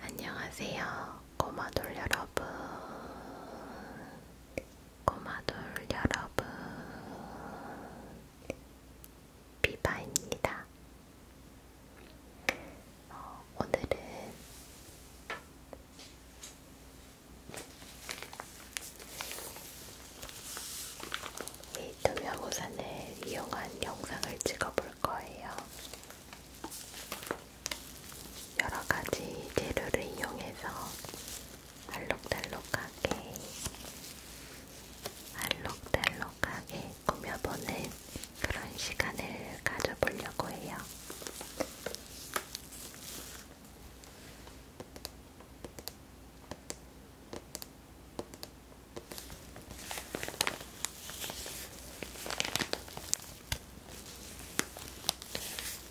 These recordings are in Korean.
안녕하세요, 꼬마돌 여러분. 꼬마돌 여러분, 비바입니다. 어, 오늘은 이 투명우산을 이용한 영상을 찍어볼 거예요. 여러 가지 재료를 이용해서 알록달록하게 알록달록하게 꾸며보는 그런 시간을 가져보려고 해요.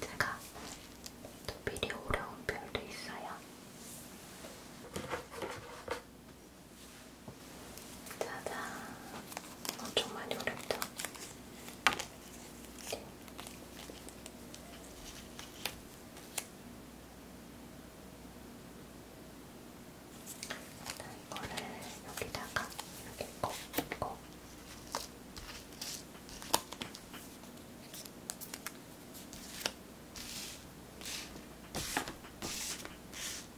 제가 또 미리 오려온 별도 있어요. 짜잔. 엄청 많이 오렵죠? 자, 이거를 여기다가 이렇게 꽂고 자,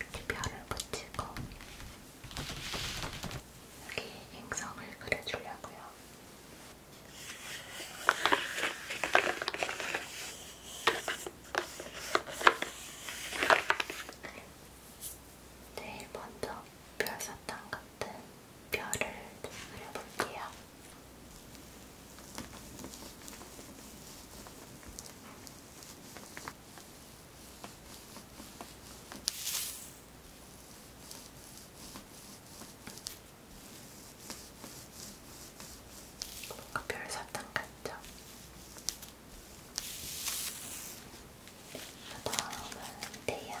이렇게 별을 붙이고 여기 행성을 그려주려고요. 제일 네, 먼저 별 사탕 같은 별을 좀 그려볼게요. 뭔가 별 사탕 같죠? 그 다음은 태양.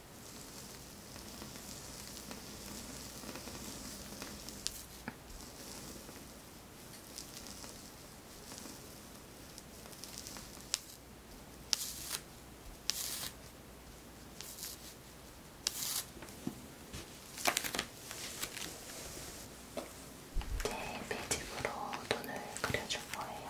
제 네, 매직으로 눈을 그려줄 거예요.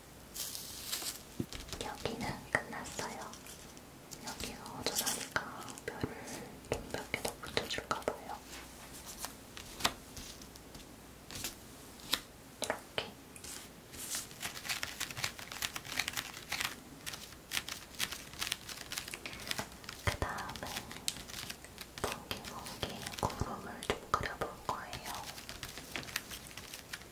여기는 끝났어요. 여기가 어쩌다니까 별을 좀몇 개더 붙여줄까봐요. 이렇게. 그 다음에 뭉기뭉기 구름을 좀 그려볼 거예요.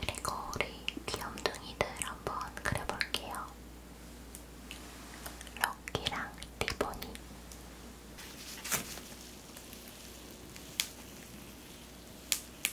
그리고 우리 귀염둥이들 한번 그려볼게요. 럭키랑 티보니.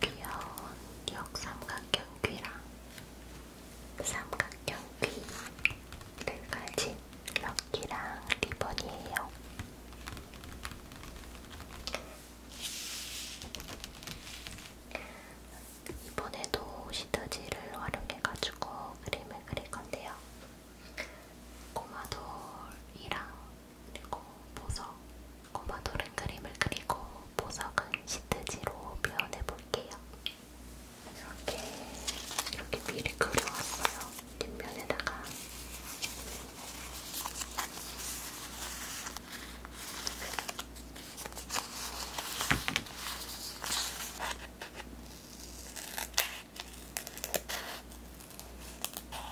귀여운 역삼각형귀랑 삼각형귀를 가진 럭키랑 리본이에요. 이번에도 시트지를 활용해가지고 그림을 그릴 건데요. 꼬마돌이랑 그리고 보석, 고마도른 그림을 그리고 보석은 시트지로 표현해 볼게요. 이렇게 이렇게 미리 그려왔어요. 뒷면에다가 이렇게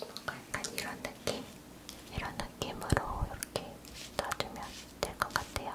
뭔가 약간 이런 느낌? 이런 느낌으로 이렇게 놔두면 될 것 같아요.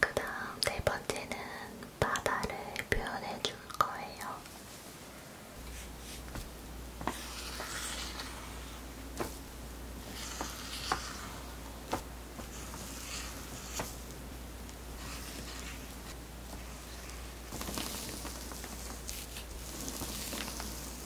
그 다음 네 번째는 바다를 표현해 줄 거예요.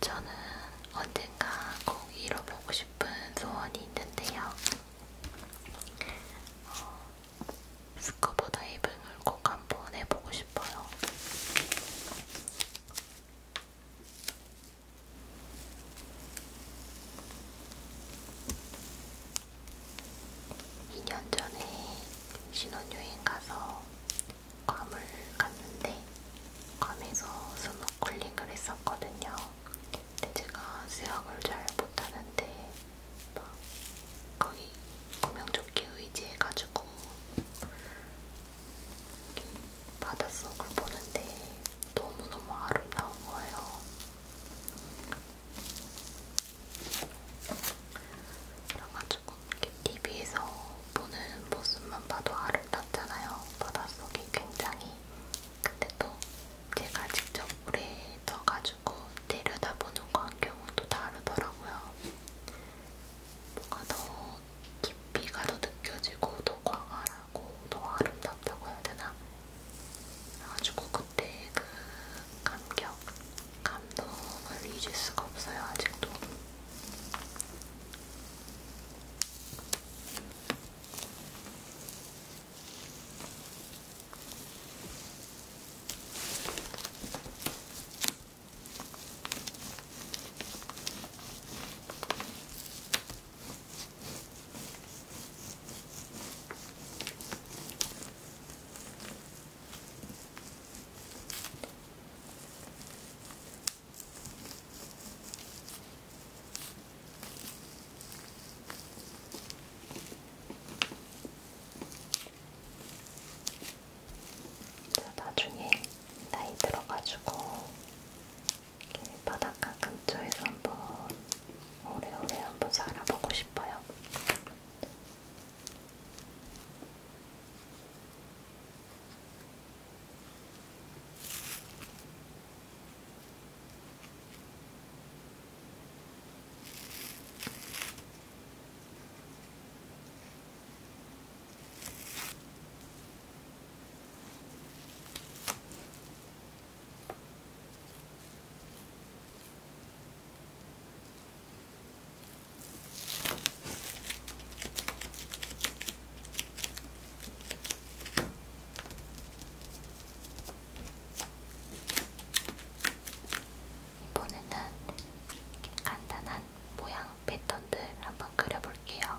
저는 언젠가 꼭 이뤄보고 싶은 소원이 있는데요. 어, 스쿠버 다이빙을 꼭 한 번 해보고 싶어요. 2년 전에 신혼여행 가서 괌을 갔는데 괌에서 스노클링을 했었거든요. 근데 제가 수영을 잘 못하는데 막 거기 구명조끼 의지해가지고 바닷속을 보는데 너무너무 아름다운 거예요. 그래가지고 TV에서 보는 모습만 봐도 아름답잖아요. 바닷속이 굉장히. 근데 또 제가 직접 물에 떠가지고 내려다보는 광경은 또 다르더라고요. 뭔가 더 깊이가 더 느껴지고 더 광활한 아름다고 더 아름답다고 해야 되나? 그래가지고 그때 그 감격, 감동을 잊을 수가 없어요 아직도. 나중에 나이 들어가지고 이렇게 바닷가 근처에서 한번 오래오래 한번 살아보고 싶어요. 이번에는 간단한 모양 패턴들 한번 그려볼게요.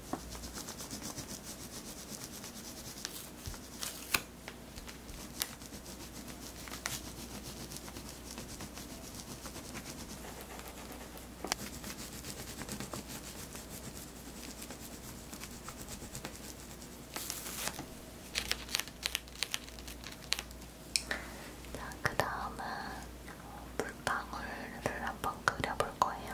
자, 그 다음은 물방울을 한번 그려볼 거예요.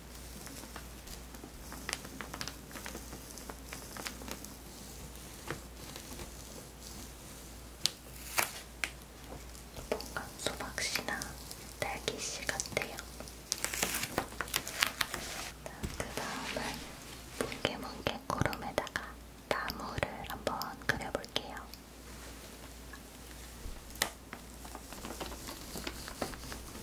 뭔가 소박씨나 딸기씨 같아요. 그 다음은 뭉게뭉게 구름에다가 나무를 한번 그려볼게요.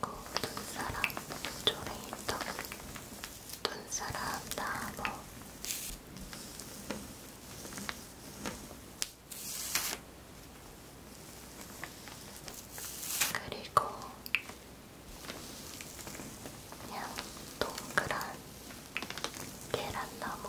그리고 눈사람, 조레이터, 눈사람 나무 그리고 그냥 동그란 계란나무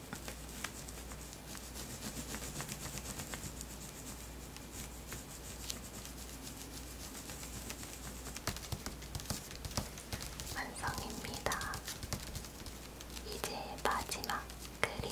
완성입니다. 이제 마지막 그림.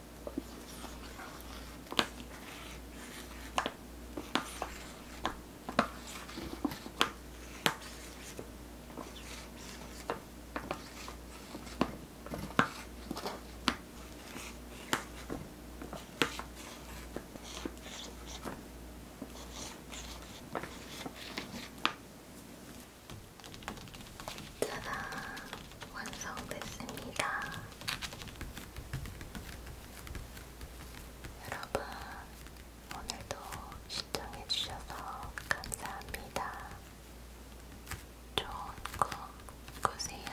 짜잔! 완성됐습니다. 여러분, 오늘도 시청해주셔서 감사합니다. 좋은 꿈 꾸세요.